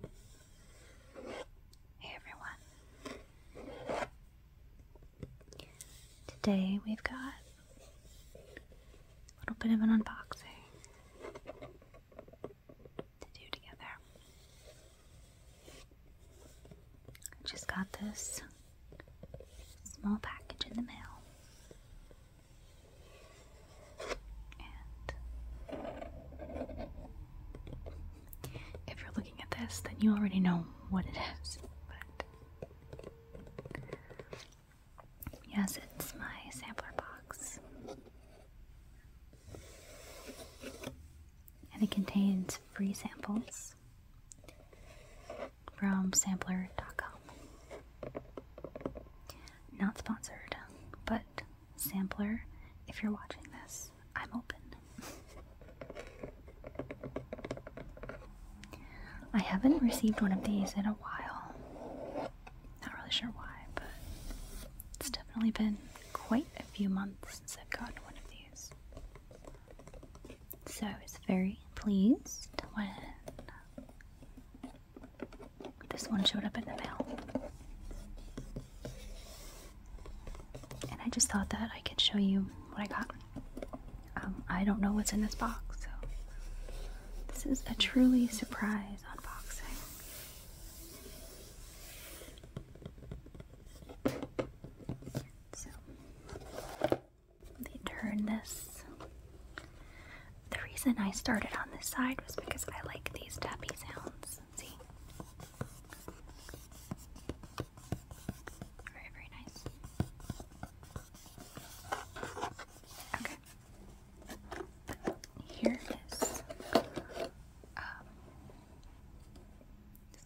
Hey everyone. Today we've got a little bit of an unboxing to do together. I just got this small package in the mail. And if you're looking at this, then you already know what it is. But yes, it's my sampler box. And it contains free samples from sampler.com. Not sponsored, but Sampler, if you're watching this, I'm open. I haven't received one of these in a while. Not really sure why, but it's definitely been quite a few months since I've gotten one of these. So I was very pleased when this one showed up in the mail. And I just thought that I could show you what I got. Um, I don't know what's in this box, so this is a truly surprise unboxing. So, let turn this. The reason I started on this side was because I like these dappy sounds. Very, very nice. Okay. Here is um,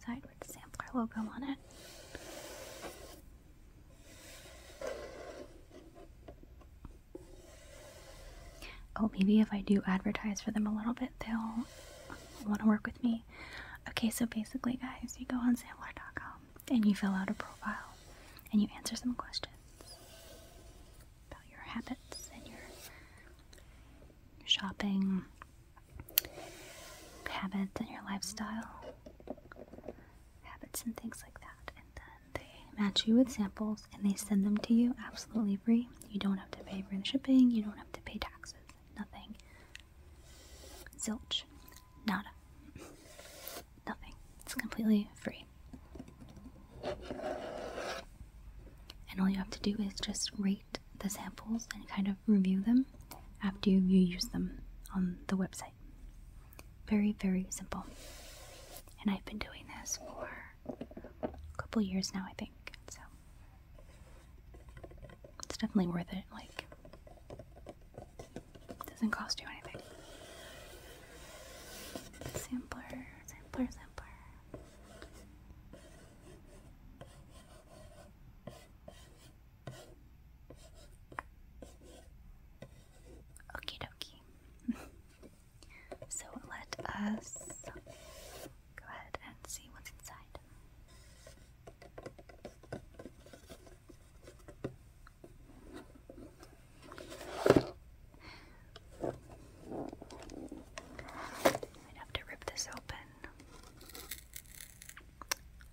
side with the sampler logo on it. Oh, maybe if I do advertise for them a little bit, they'll want to work with me. Okay, so basically, guys, you go on Sandler.com and you fill out a profile and you answer some questions about your habits and your shopping habits and your lifestyle habits and things like that they match you with samples and they send them to you absolutely free. You don't have to pay for the shipping, you don't have to pay taxes, nothing. Zilch. Nada. Nothing. It's completely free. And all you have to do is just rate the samples and kind of review them after you use them on the website. Very, very simple. And I've been doing this for a couple years now, I think. So it's definitely worth it. Like, it doesn't cost you anything. Sampler, sampler, sampler. Okie dokie. So let us go ahead and see what's inside. I'd have to rip this open.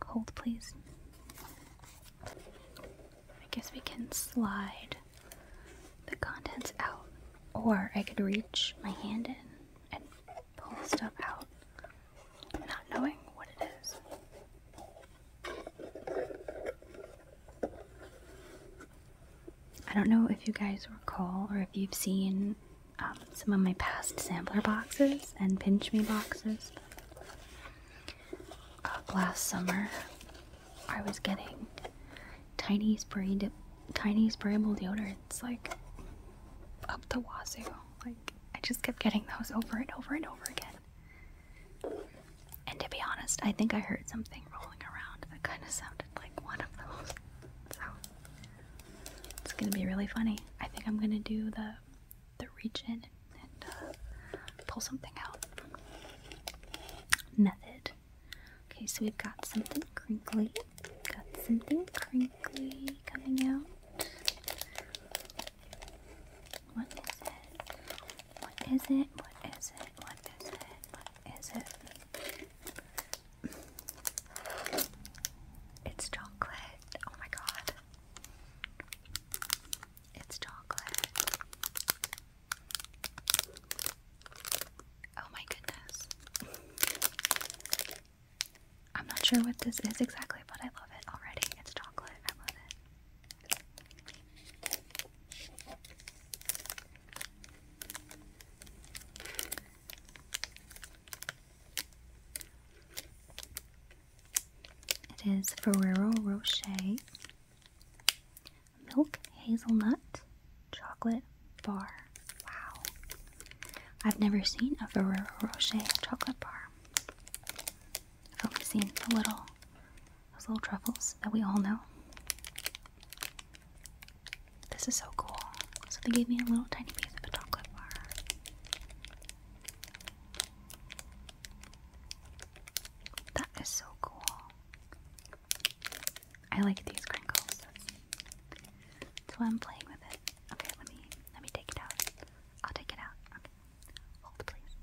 Hold, please. I guess we can slide the contents out, or I could reach my hand in and pull stuff out, not knowing what it is. I don't know if you guys recall or if you've seen um, some of my past sampler boxes and pinch me boxes. Uh, last summer, I was getting tiny spray dip, tiny sprayable deodorants like up the wazoo. Like I just kept getting those over and over and over again. And to be honest, I think I heard something rolling around that kind of sounded like one of those. So it's gonna be really funny. I think I'm gonna do the the reach in and uh, pull something out method. Okay, so we've got something crinkly. Got something crinkly coming out. What is it? What is it? What is it? What is it? What is it? It's chocolate. Oh my god. It's chocolate. Oh my goodness. I'm not sure what this is exactly, but I love it already. It's chocolate. I love it. It is Ferrero Rocher milk hazelnut chocolate bar. Wow. I've never seen a Ferrero Rocher chocolate bar. Oh, I've only seen the little those little truffles that we all know. This is so cool. So they gave me a little tiny piece of a chocolate bar. That is so cool. I like these crinkles. so I'm playing with it. Okay, let me let me take it out. I'll take it out. Okay. Hold please.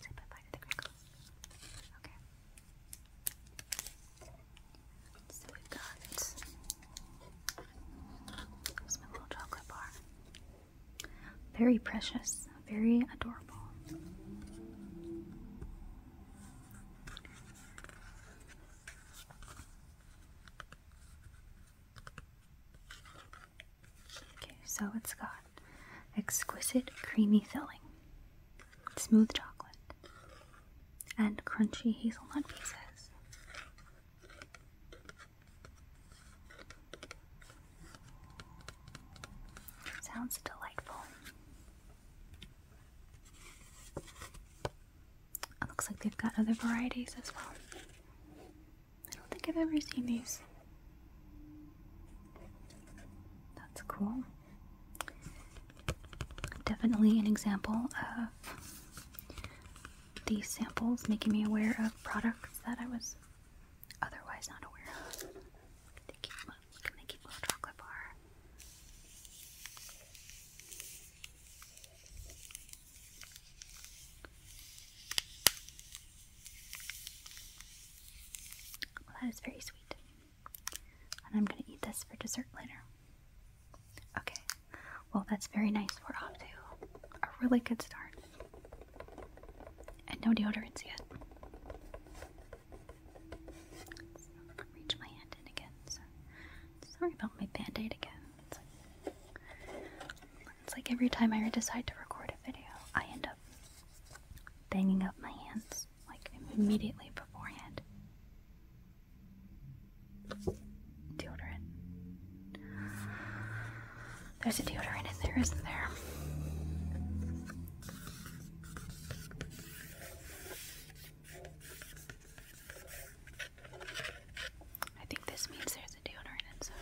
Say bye bye to the crinkles. Okay. So we got here's little chocolate bar. Very precious, very adorable. Okay, so it's got exquisite creamy filling, smooth chocolate, and crunchy hazelnut pieces. Sounds delightful. It looks like they've got other varieties as well. I don't think I've ever seen these. That's cool. Definitely an example of these samples, making me aware of products that I was otherwise not aware of. They keep my, look at my little chocolate bar. Well, that is very sweet. And I'm going to eat this for dessert later. Okay, well, that's very nice. We're off to a really good start. And no deodorants yet. reach my hand in again. sorry about my band aid again. it's like every time I decide to record a video, I end up banging up my hands like immediately beforehand. Deodorant. There's a deodorant in there, isn't there? I think this means there's a deodorant inside.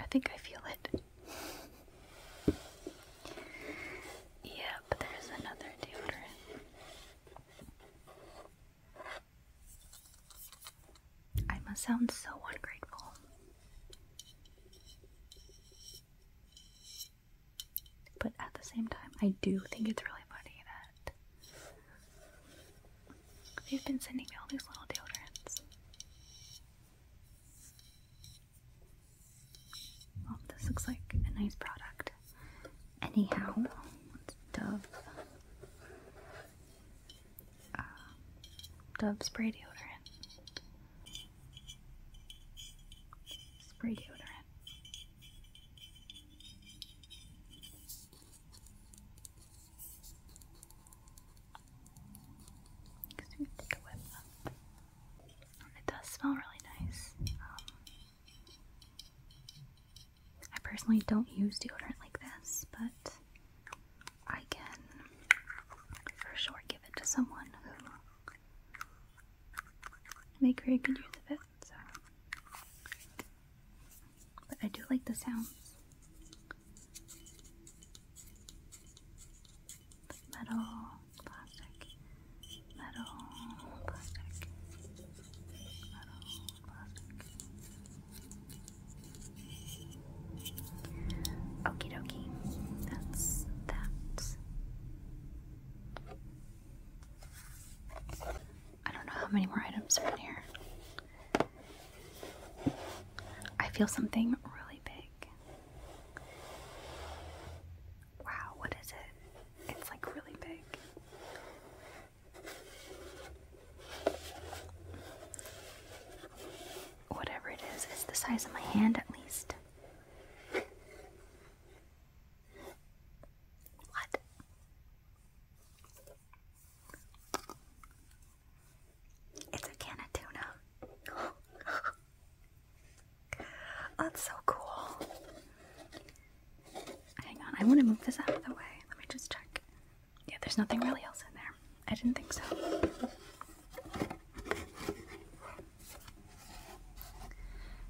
I think I feel it. Yeah, but there's another deodorant. I must sound so ungrateful. But at the same time, I do think it's really funny that They've been sending me all these little deodorants. Well, this looks like a nice product. Anyhow, Dove. Uh, dove spray deodorant. Spray deodorant. Because we take a whip um, it does smell really nice. Um, I personally don't use deodorant like this, but I can for sure give it to someone who make very good use of it. So but I do like the sounds. metal, plastic, metal, plastic, metal, plastic. Okie dokie, that's that. I don't know how many more items are in here. I feel something really big. Wow, what is it? It's like really big. Whatever it is, it's the size of my hand at least. What? It's a can of tuna. That's so cool. Hang on, I want to move this out of the way. Let me just check. Yeah, there's nothing really else in there. I didn't think so.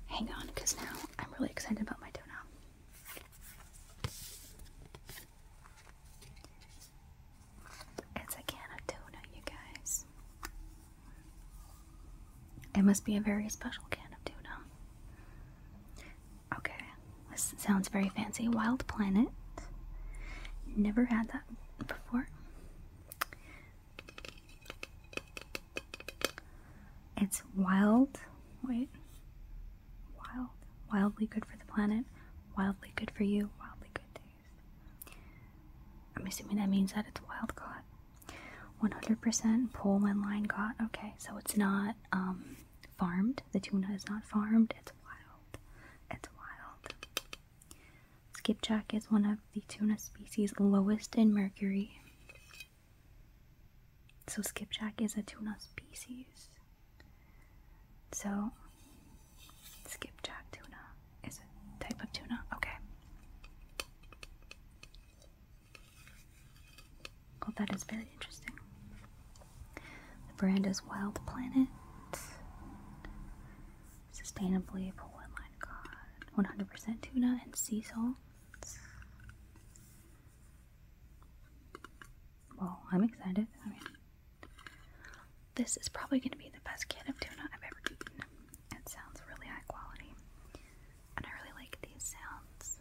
Hang on, because now I'm really excited about my tuna. It's a can of tuna, you guys. It must be a very special can of tuna. Okay, this sounds very fancy. Wild Planet. Never had that before. It's wild. Wait. Wild. Wildly good for the planet. Wildly good for you. Wildly good to use. I'm assuming that means that it's wild caught. 100% pole and line caught. Okay, so it's not um, farmed. The tuna is not farmed. It's wild. It's wild. Skipjack is one of the tuna species lowest in mercury. So skipjack is a tuna species. So skipjack tuna is a type of tuna. Okay. Oh, that is very interesting. The brand is Wild Planet. Sustainably pulled. My God, 100% tuna and sea salt well, I'm excited. I mean, this is probably going to be the best can of tuna I've ever eaten. It sounds really high quality, and I really like these sounds.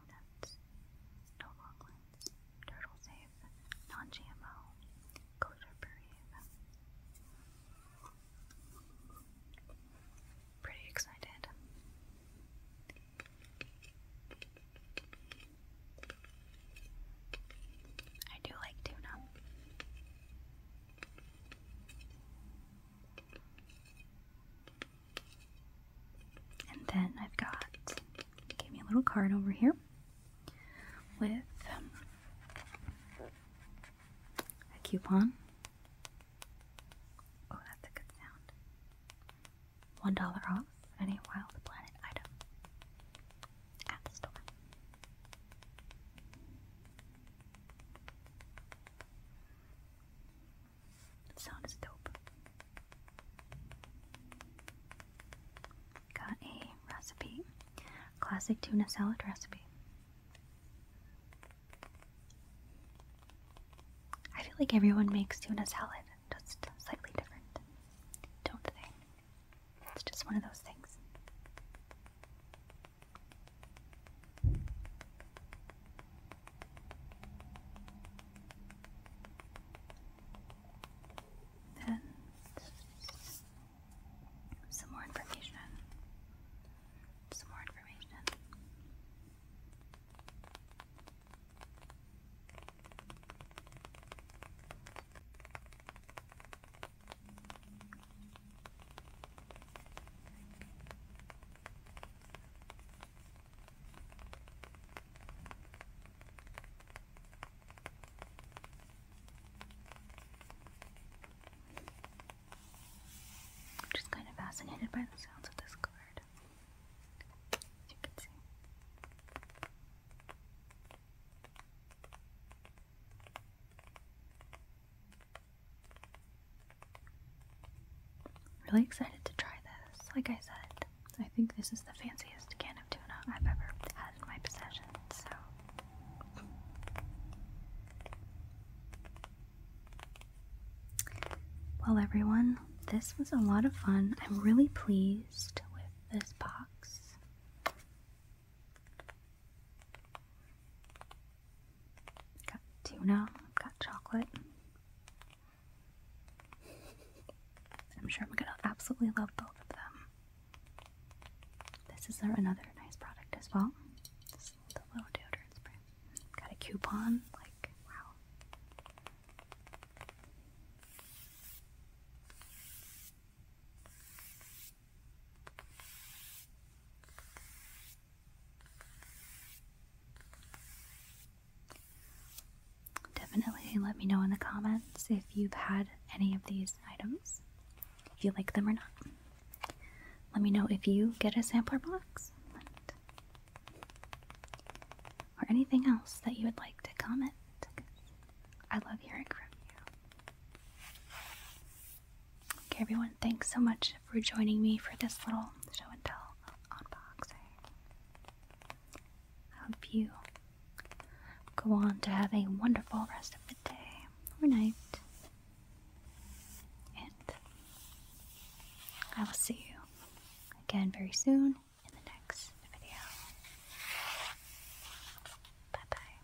no nuts, no turtle safe, non-GMO, kosher puree. Pretty excited. I do like tuna. And then I've got, give me a little card over here with um, a coupon. Oh, that's a good sound. One dollar off any Wild Planet item at the store. That sound is dope. Got a recipe. Classic tuna salad recipe. I feel like everyone makes tuna salad just slightly different, don't they? It's just one of those things and some more information. Some more information. I'm just kind of fascinated by the sounds of this card, as you can see. Really excited to try this. Like I said, I think this is the fanciest can of tuna I've ever had in my possession, so. Well, everyone, this was a lot of fun. I'm really pleased with this box. Got tuna, I've got chocolate. I'm sure I'm gonna absolutely love both of them. This is another nice product as well. the little deodorant spray. Got a coupon, like, wow. Definitely let me know in the comments if you've had any of these items, if you like them or not. Let me know if you get a sampler box or anything else that you would like to comment. I love hearing from you. Okay, everyone, thanks so much for joining me for this little show and tell unboxing. I hope you go on to have a wonderful rest of the day or night. And I will see you again very soon in the next video. Bye bye.